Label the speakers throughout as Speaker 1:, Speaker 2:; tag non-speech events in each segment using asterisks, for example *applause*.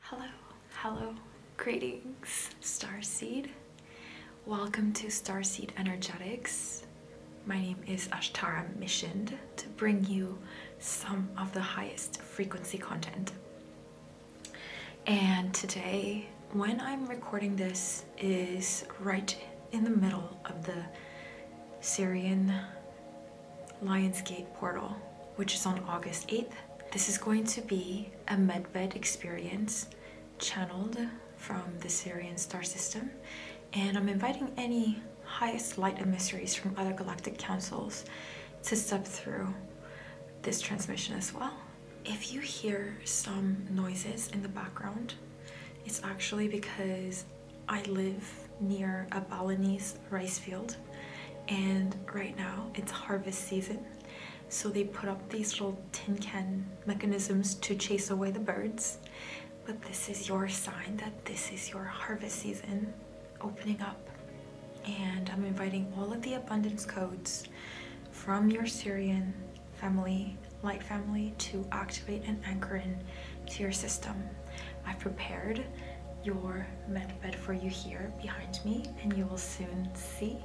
Speaker 1: Hello, hello, greetings, Starseed. Welcome to Starseed Energetics. My name is Ashtara Missioned to bring you some of the highest frequency content. And today, when I'm recording this, is right in the middle of the Syrian Lionsgate Portal, which is on August 8th. This is going to be a medbed experience channeled from the Syrian star system, and I'm inviting any highest light emissaries from other galactic councils to step through this transmission as well. If you hear some noises in the background, it's actually because I live near a Balinese rice field and right now it's harvest season so they put up these little tin can mechanisms to chase away the birds but this is your sign that this is your harvest season opening up and I'm inviting all of the abundance codes from your Syrian family, light family to activate and anchor in to your system. I've prepared your mat bed for you here behind me and you will soon see.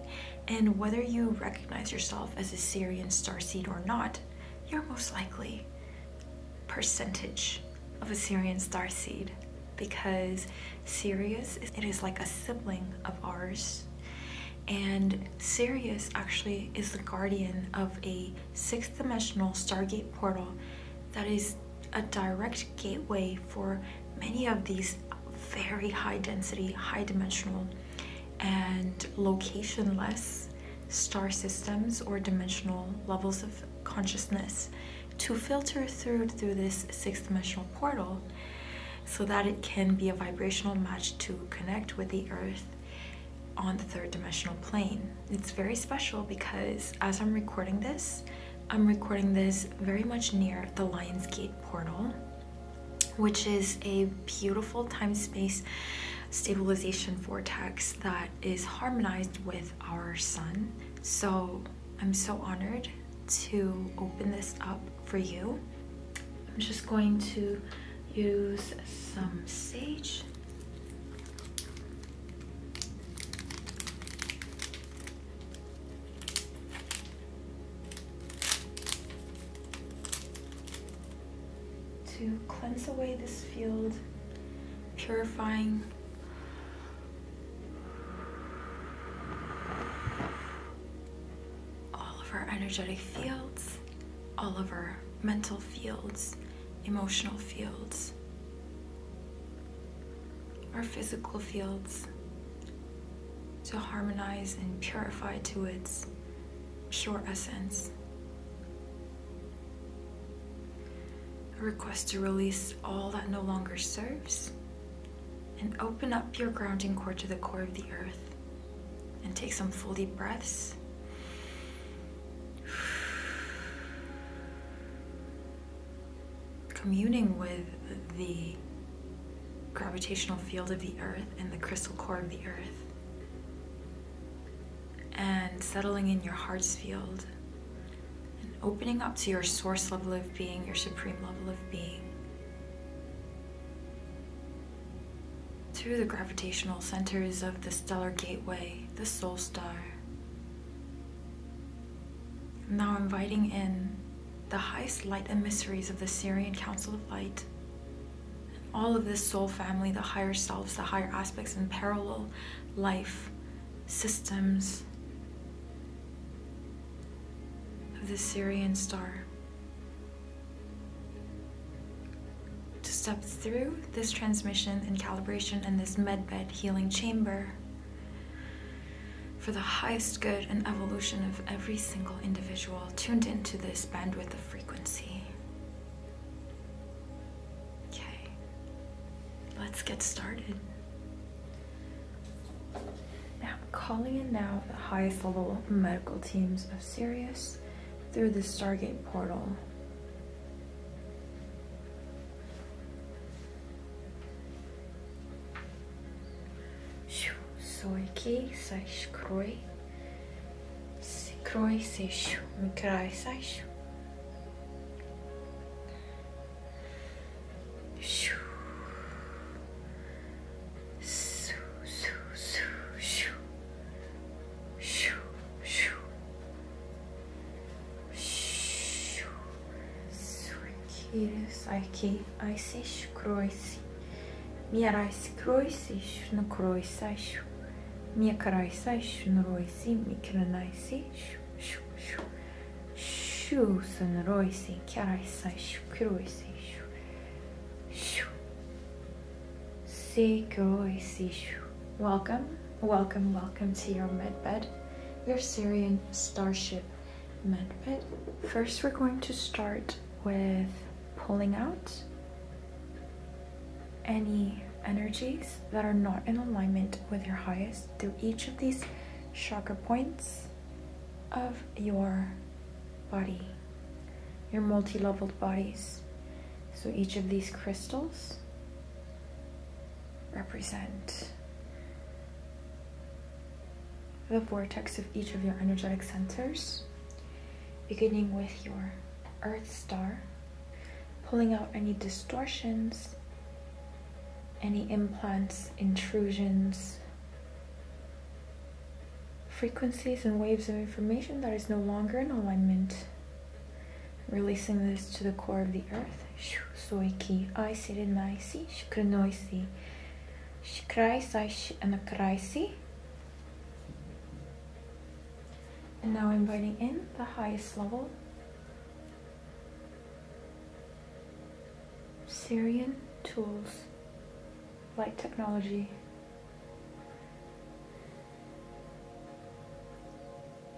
Speaker 1: And whether you recognize yourself as a Syrian starseed or not, you're most likely percentage of a Syrian starseed because Sirius, it is like a sibling of ours. And Sirius actually is the guardian of a six dimensional Stargate portal that is a direct gateway for many of these very high density, high dimensional, and locationless star systems or dimensional levels of consciousness to filter through through this sixth dimensional portal so that it can be a vibrational match to connect with the earth on the third dimensional plane. It's very special because as I'm recording this, I'm recording this very much near the Lions Gate portal, which is a beautiful time space stabilization vortex that is harmonized with our sun. So I'm so honored to open this up for you. I'm just going to use some sage to cleanse away this field, purifying all of our energetic fields, all of our mental fields, emotional fields, our physical fields to harmonize and purify to its pure essence. A request to release all that no longer serves and open up your grounding core to the core of the earth and take some full deep breaths communing with the gravitational field of the earth and the crystal core of the earth and settling in your heart's field and opening up to your source level of being, your supreme level of being. Through the gravitational centers of the stellar gateway, the soul star, now inviting in the highest light emissaries of the Syrian Council of Light. All of this soul family, the higher selves, the higher aspects, in parallel life systems of the Syrian star. To step through this transmission and calibration in this medbed healing chamber for the highest good and evolution of every single individual tuned into this bandwidth of frequency. Okay, let's get started. Now, I'm calling in now the highest level medical teams of Sirius through the Stargate portal сойки саш крой крой сеш микрай саш Shoo. Sukiriz aki aisish kroisi. Mierais kroisish nu kroisaish. Miekaraish nu roisi mikrenaisi. Shusun roisi karaisaish kroisish. Shu. Se kroisish. Welcome. Welcome, welcome to your medbed, your Syrian starship medbed. First, we're going to start with pulling out any energies that are not in alignment with your highest through each of these chakra points of your body, your multi leveled bodies. So each of these crystals represent the vortex of each of your energetic centers, beginning with your Earth Star, pulling out any distortions, any implants, intrusions, frequencies, and waves of information that is no longer in alignment Releasing this to the core of the earth. Soy ki aisirinaisi shikrinoisi. Shikraisai anakraisi. And now inviting in the highest level. Syrian tools, light technology,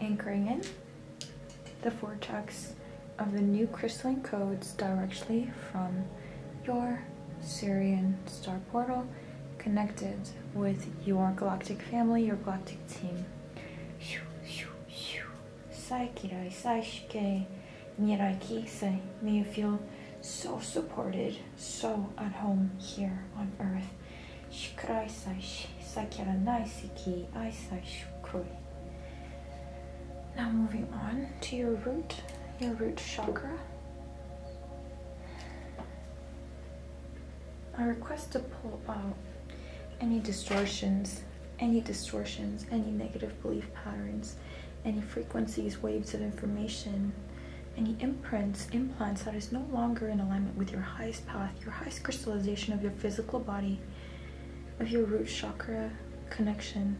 Speaker 1: anchoring in the vortex of the new crystalline codes directly from your Syrian star portal connected with your galactic family, your galactic team. And you feel so supported, so at home here on Earth. Now moving on to your root, your root chakra. I request to pull out any distortions, any distortions, any negative belief patterns, any frequencies, waves of information, any imprints, implants that is no longer in alignment with your highest path your highest crystallization of your physical body, of your root chakra connection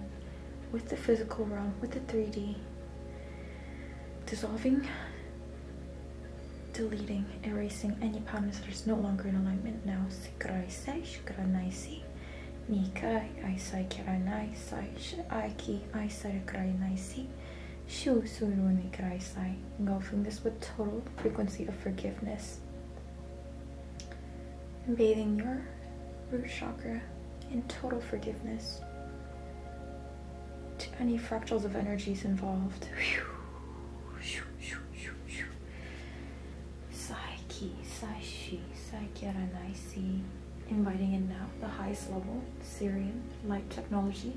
Speaker 1: with the physical realm, with the 3D, dissolving, deleting, erasing any patterns that is no longer in alignment now. Nikai, Aisai Kiranai, Sai Aiki, Aisai Kiranai, She'll soon when we cry sigh, engulfing this with total frequency of forgiveness. And bathing your root chakra in total forgiveness to any fractals of energies involved. Saiki, Saishi, Saikyaranai, inviting in now the highest level Syrian light technology,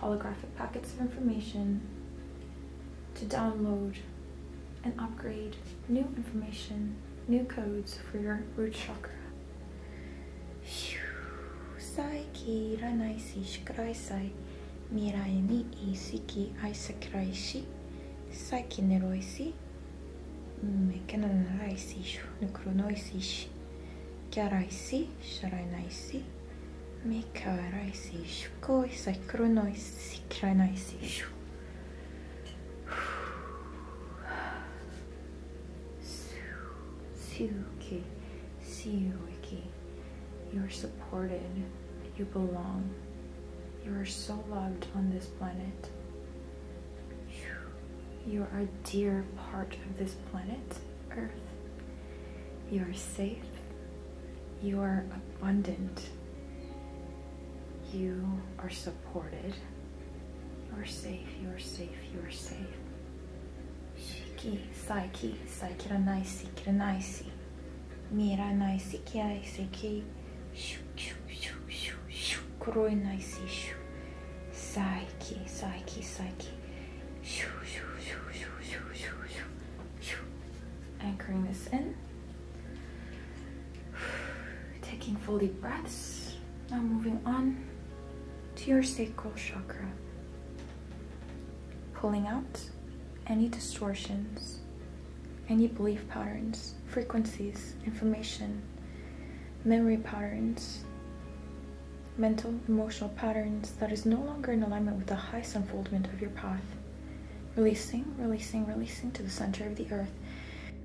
Speaker 1: holographic packets of information to download and upgrade new information, new codes for your root chakra. Saiki ranai si shikurai sai, mirai ni isiki aisakirai shi, saiki neroi si, mekena narai si shu, nukronoi si shi, kyarai si, sharai Make みからいししこいさくろのいしきらないししょ Suki, Suki, you're supported, you belong, you are so loved on this planet. You are a dear part of this planet earth. You are safe. You are abundant. You are supported. You are safe. You are safe. You are safe. Shiki, saiki, saikiranai, sikiranai, si. Miranai, sikirai, siki. Shoo, shoo, shoo, shoo, shoo. Kuroi nai, si, shoo. Saiki, saiki, saiki. Anchoring this in. *sighs* Taking full deep breaths. Now moving on to your sacral chakra. Pulling out any distortions, any belief patterns, frequencies, information, memory patterns mental, emotional patterns that is no longer in alignment with the highest unfoldment of your path. Releasing, releasing, releasing to the center of the earth.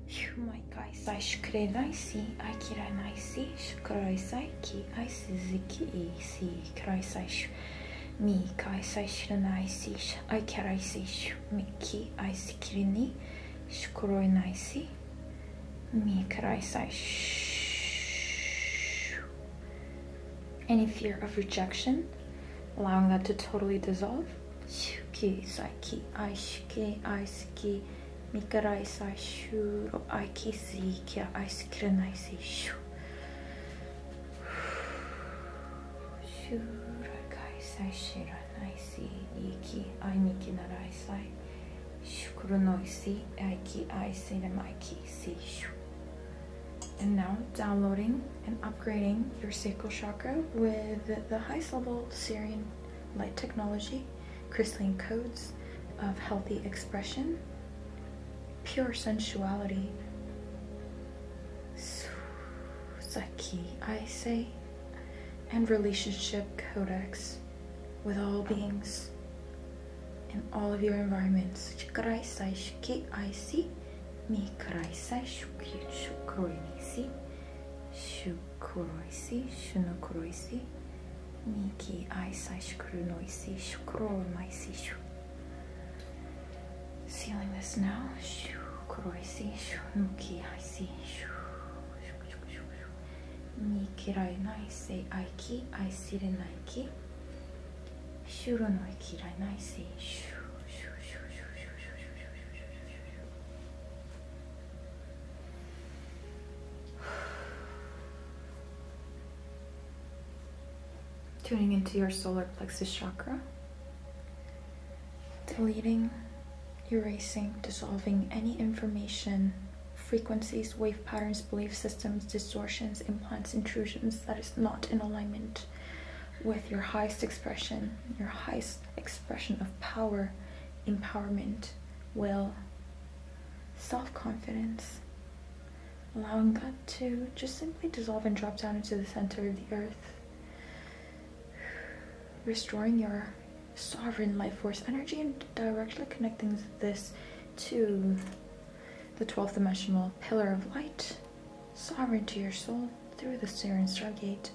Speaker 1: Humaikaisai shukrenaisi, aikiranaisi, shukuraisai ki aisiziki isi, kuraisai mi kaisai shiranaisi, aikaraisi, miki aisikirini, shukuroinaisi, mi karaisai any fear of rejection, allowing that to totally dissolve. Shuki, Saiki, Aishiki, Aisiki, Mikarai, Saishuro, Aiki, Sikia, Aiskiranai, Shu. *sighs* Shurakai, Saishiranai, Siiki, Ainiki, Narai, Sai. Kuronoisi Aiki I Sinamaiki Si. And now downloading and upgrading your sacral chakra with the highest level Syrian light technology, crystalline codes of healthy expression, pure sensuality. Saki, I say, and relationship codex with all beings in all of your environments. Чикрай сайш ки айси, ми край сайш ки шукруйниси, шукруйси, шунукруйси, ми ки ай сайш крунойси, шукромайси шу. Sealing this now. Shoo, kroisi, shoo, nuki, I see. Shoo, shoo, shoo, shoo, shoo. に嫌いないせ愛き愛すれないき白の嫌いないせシュシュシュシュシュシュシュシュシュシュシュ tuning into your solar plexus chakra deleting erasing dissolving any information frequencies, wave patterns, belief systems, distortions, implants, intrusions that is not in alignment with your highest expression, your highest expression of power, empowerment, will, self confidence. Allowing that to just simply dissolve and drop down into the center of the earth. *sighs* Restoring your sovereign life force energy and directly connecting this to the 12th dimensional pillar of light, sovereign to your soul through the Syrian Stargate.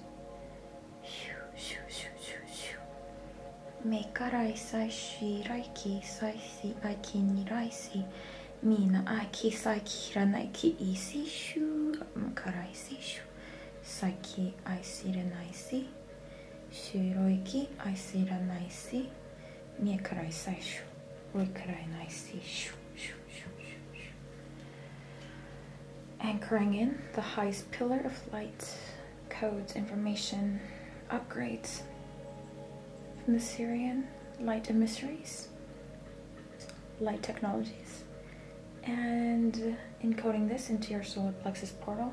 Speaker 1: Me karai saishi raiki saisi aiki ni raisi mina aiki saiki ranaiki isi shu karai sishu saiki aisi renaisi I see We 白い木愛すらないし見えからい最初追いからいないしシュシュシュ Anchoring in the highest pillar of light, codes, information, upgrades from the Syrian light emissaries, light technologies, and encoding this into your solar plexus portal.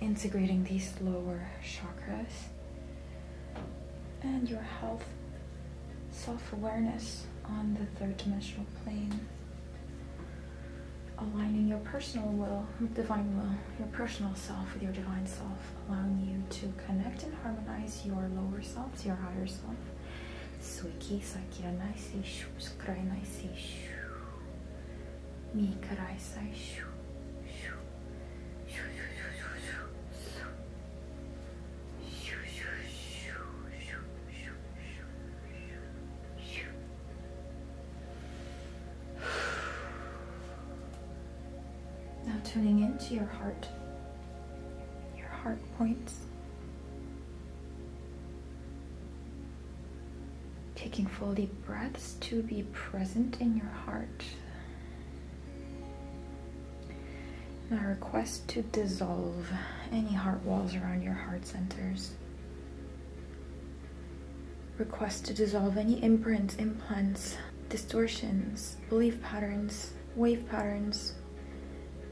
Speaker 1: integrating these lower chakras and your health self awareness on the third dimensional plane. Aligning your personal will, divine will, your personal self with your divine self, allowing you to connect and harmonize your lower self to your higher self. Suiki, Sakira, Naisi, Shu, Skrai, now tuning into your heart, your heart points. Taking full deep breaths to be present in your heart. And I request to dissolve any heart walls around your heart centers. Request to dissolve any imprints, implants, distortions, belief patterns, wave patterns,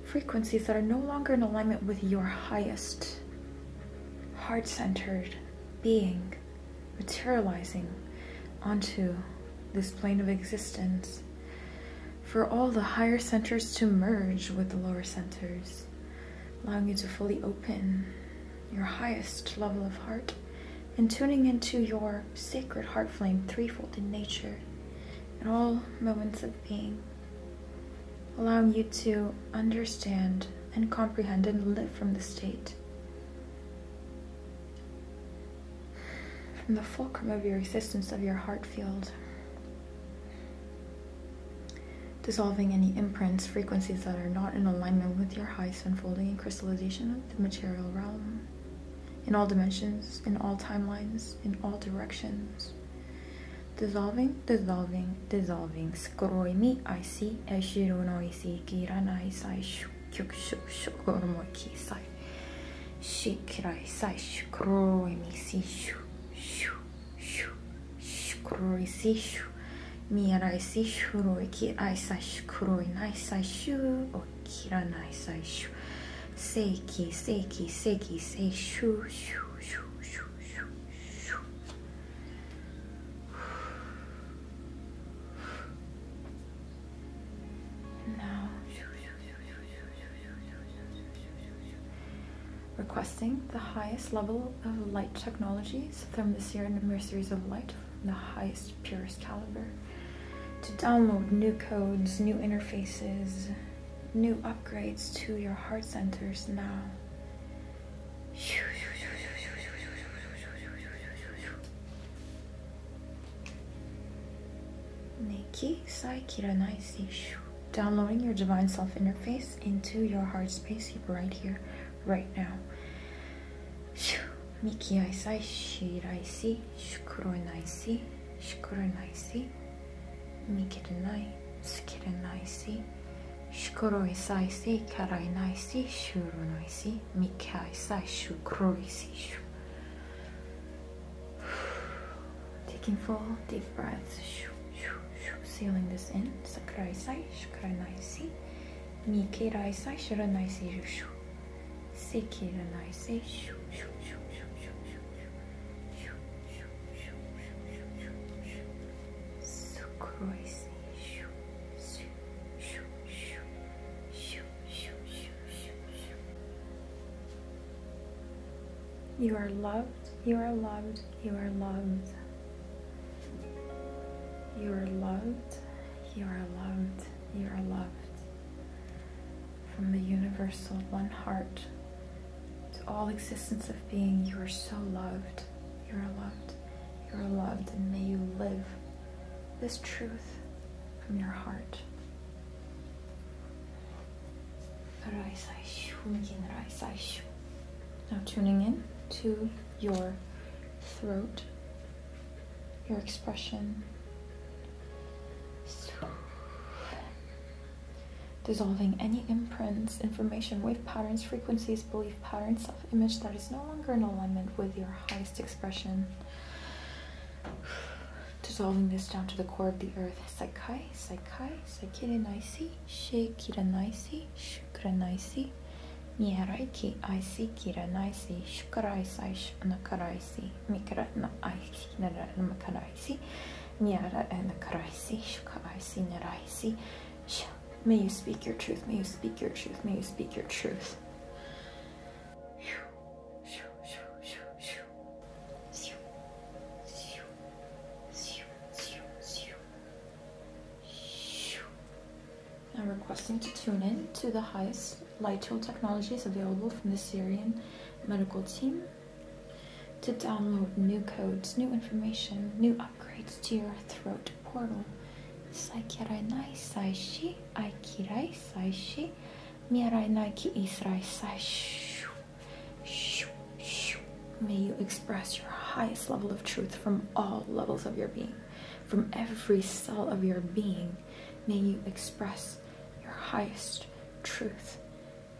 Speaker 1: frequencies that are no longer in alignment with your highest, heart centered being materializing onto this plane of existence for all the higher centers to merge with the lower centers, allowing you to fully open your highest level of heart and tuning into your sacred heart flame threefold in nature at all moments of being allowing you to understand and comprehend and live from the state. From the fulcrum of your existence, of your heart field, dissolving any imprints, frequencies that are not in alignment with your highest unfolding and crystallization of the material realm, in all dimensions, in all timelines, in all directions Dissolving, dissolving, dissolving. Skroimi I see, eshiru no isi, kiranai sai, kyukshu, shogoromoi sai. Shikirai sai, shkroimi si, shu, shu, shu, shkroi si, shu. Mirai si, shuroi ki, ai sai, shkroi nai sai, shu, o kiranai sai, shu. Seiki, seiki, seiki, sei, shu, shu, shu, shu, shu, shu. Now, requesting the highest level of light technologies from the Sierra Mercies of Light, the highest, purest caliber, to download new codes, new interfaces, new upgrades to your heart centers now. Neki Saikiranai Seishu. Downloading your divine self interface into your heart space right here, right now. Miki Aisai Shiraisi Shukuronaisi Shukuronaisi Mikirinai Tsukirenaisi Shukuro isai si, karai nai si, shuru noi si, mikai sai, shukuroi si, shu. *sighs* Taking four deep breaths, shu, shu, shu. Sealing this in, sakurai sai, shukurai nai si, mikirai sai, shuru nai si, shu. Sekirai nai si, shu, shu, shu, shu, shu, shu, shu, shu. You are loved, you are loved, you are loved. You are loved, you are loved, you are loved. From the universal one heart to all existence of being, you are so loved. You are loved. You are loved, and may you live this truth from your heart. Now, tuning in to your throat, your expression dissolving any imprints, information, wave patterns, frequencies, belief patterns, self image that is no longer in alignment with your highest expression. *sighs* dissolving this down to the core of the earth. Sakai, Sakai, Sakiranaisi, Shekiranaisi, Shukranaisi, miaraiki, Aisi, kira, naisi, Kiranaisi, Shukaraisai, Nakaraisi, Mikarana, Aisi, miara, Narakaraisi, Nyara, Nakaraisi, Shukaraisi, Naraisi. May you speak your truth. May you speak your truth. May you speak your truth. I'm requesting to tune in to the highest light tool technologies available from the Syrian medical team to download new codes, new information, new upgrades to your throat portal. Saikirai saishi, aikirai saishi, mirai naiki israi shu. May you express your highest level of truth from all levels of your being, from every cell of your being. May you express your highest truth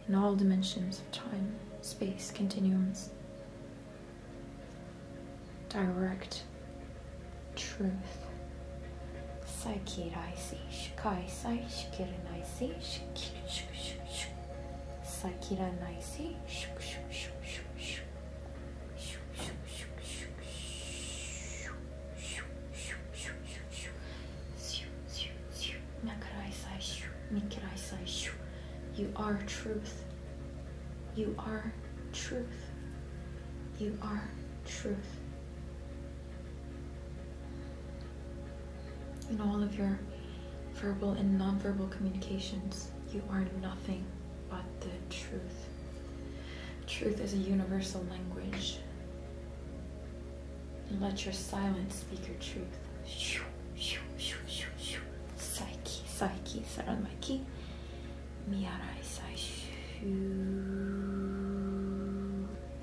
Speaker 1: in all dimensions of time, space, continuums. Direct truth. Saikiraisi, shikaisai, shikirinaisi, shikirishkushkushku. Saikiranaisi, shkushkushkushku. Shoo, shoo, shoo, shoo, shoo. You are truth. You are truth. You are truth. In all of your verbal and non-verbal communications, you are nothing but the truth. Truth is a universal language and let your silence speak your truth. Shoo, shoo, shoo, shoo, shoo. Psyche, psyche, saranmaki. Miarai sai shoo.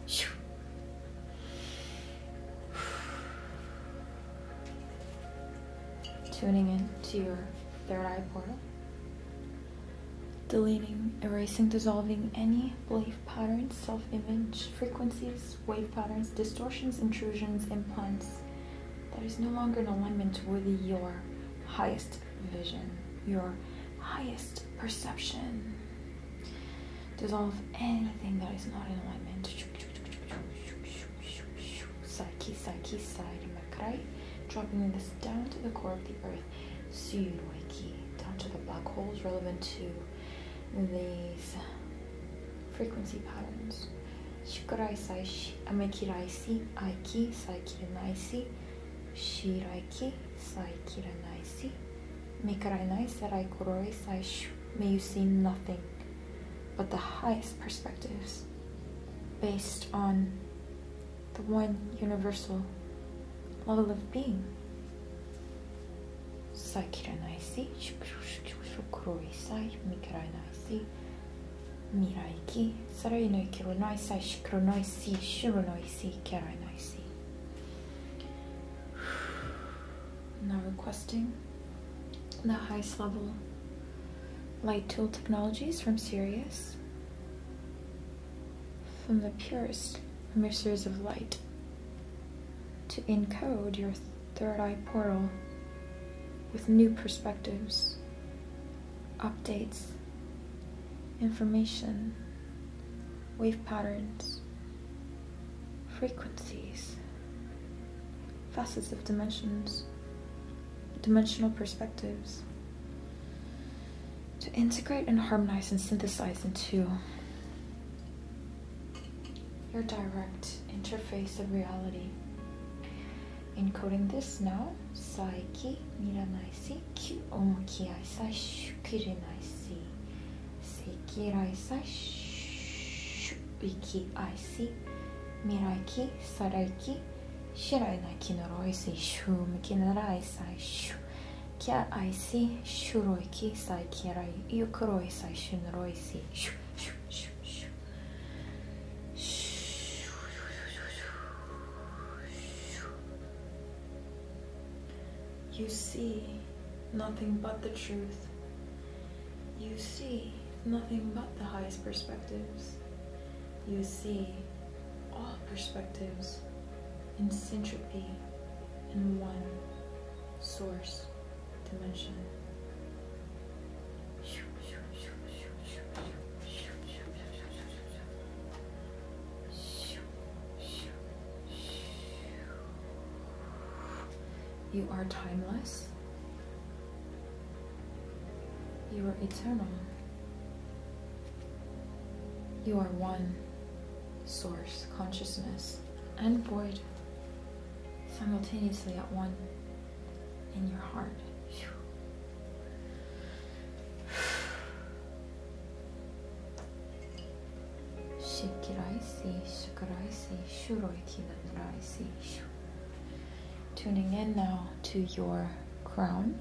Speaker 1: Shoo. Tuning in to your third eye portal. Deleting, erasing, dissolving any belief patterns, self image, frequencies, wave patterns, distortions, intrusions, implants that is no longer in alignment with your highest vision, your highest perception. Dissolve anything that is not in alignment. Psyche, psyche, side makrai, dropping this down to the core of the earth. Suyuruiki, down to the black holes relevant to these frequency patterns. Shikurai sai amekirai si aiki sai kiranai si shirai ki sai kiranai si mekarai nai sarai kuroi sai May you see nothing but the highest perspectives based on the one universal level of being. Saikiranaisi, Shukroisai, Mikranaisi, Miraiki, Sarainoi Kironaisai, Shikronaisi, Shironaisi, Keranaisi. *sighs* Now requesting the highest level light tool technologies from Sirius, from the purest emissors of light, to encode your third eye portal with new perspectives, updates, information, wave patterns, frequencies, facets of dimensions, dimensional perspectives, to integrate and harmonize and synthesize into your direct interface of reality. Encoding this now, saiki miranaisi, ki omokiaisai shukirinaisi, sekiraisai shuikiaisi, miraiki saraiki, shirainaiki noroisi, shumikinaraisai shu, kiaisi shuroiki saikiraiki io croy sai shun You see nothing but the truth. You see nothing but the highest perspectives. You see all perspectives in syntropy in one source dimension. You are timeless. You are eternal. You are one source consciousness and void simultaneously at one in your heart. Shikiraisi, shikiraisi, shuroikinataraisi. Tuning in now to your crown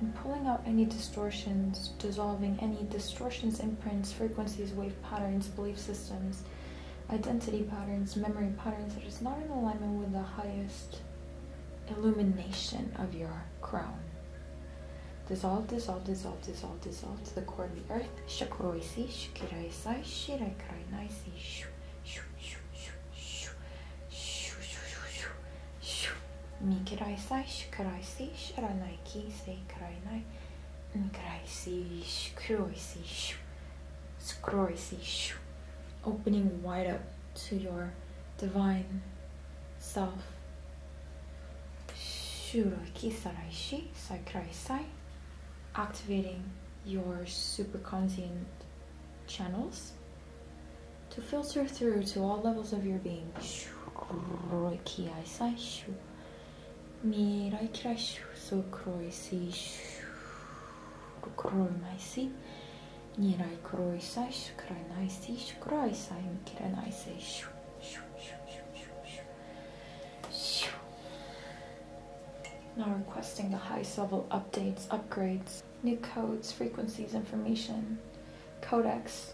Speaker 1: and pulling out any distortions, dissolving any distortions, imprints, frequencies, wave patterns, belief systems, identity patterns, memory patterns that is not in alignment with the highest illumination of your crown. Dissolve, dissolve, dissolve, dissolve, dissolve to the core of the earth. Shakroisi, Shikiraisai, Shiraikarainaisi, Shu, Shu, Shu, Shu, Shu, Shu, Shu, Shu, Shu, Mikrai sai, shikrai si, shiranai ki, seikrai nai, mikrai Opening wide up to your divine self. Shuroi ki sarai shi, saikrai sai. Activating your super superconscient channels to filter through to all levels of your being. So kroisi Nirai kroi sai shukrai nai si shukrai sai unkire nai se shu shu shu shu shu shu Now requesting the highest level updates, upgrades, new codes, frequencies, information, codecs,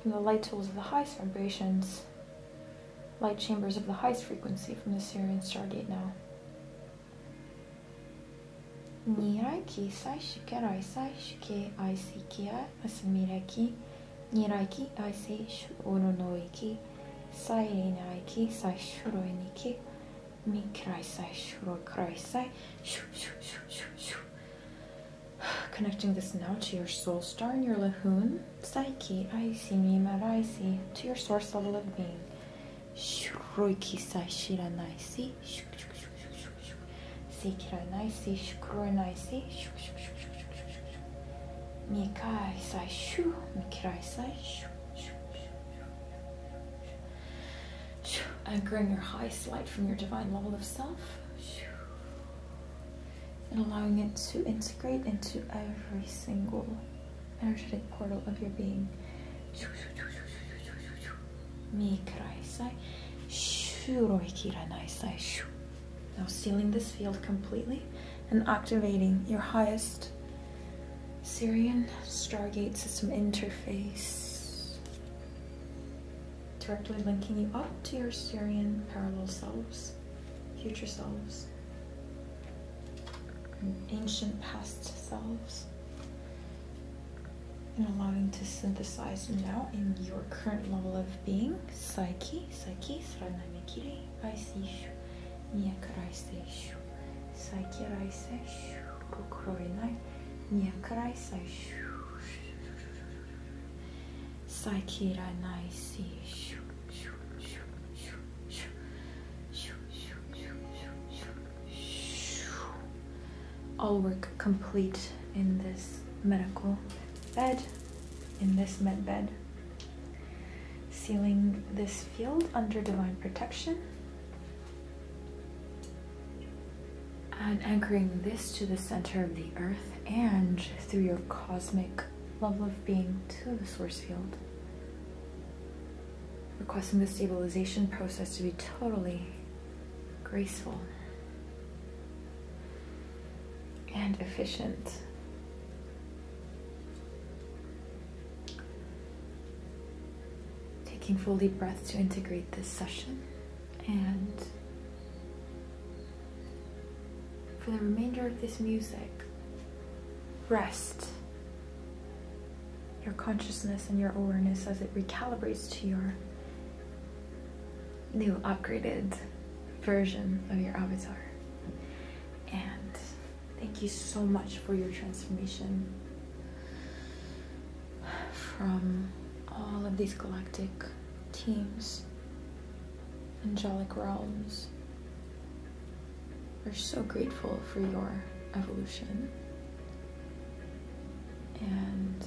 Speaker 1: from the light tools of the highest vibrations, light chambers of the highest frequency from the Syrian Stargate now. Nirai ki saishikerai saishike aisikia masumireki niraiki aise shuononoiki sairenaiki saishuroiniki mi kraisai shuro kraisai shoo shoo shoo shoo shoo Connecting this now to your soul star and your lahoon, psyche, aisi, mima, raisi, to your source level of being. Shruiki sai shiranaisi, sikiranaisi, shukuranaisi, mikai sai shu, mikirai sai shu, Anchoring your highest light from your divine level of self. And allowing it to integrate into every single energetic portal of your being. Now sealing this field completely and activating your highest Syrian Stargate System interface directly linking you up to your Syrian parallel selves, future selves, ancient past selves, and allowing to synthesize now in your current level of being, psyche, psyche, сранамикири, айсишу, некарайсишу, psyche, айсишу all work complete in this medical bed in this med bed sealing this field under divine protection and anchoring this to the center of the earth and through your cosmic love of being to the source field. Requesting the stabilization process to be totally graceful and efficient. Taking full deep breaths to integrate this session. And for the remainder of this music, rest your consciousness and your awareness as it recalibrates to your new upgraded version of your avatar. And thank you so much for your transformation from all of these galactic teams, angelic realms. We're so grateful for your evolution. And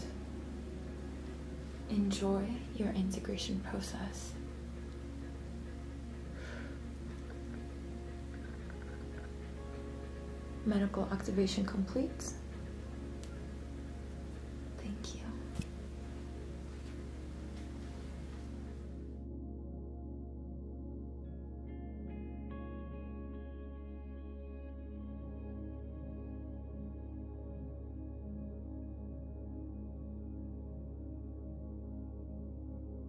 Speaker 1: enjoy your integration process. Medical activation complete. Thank you.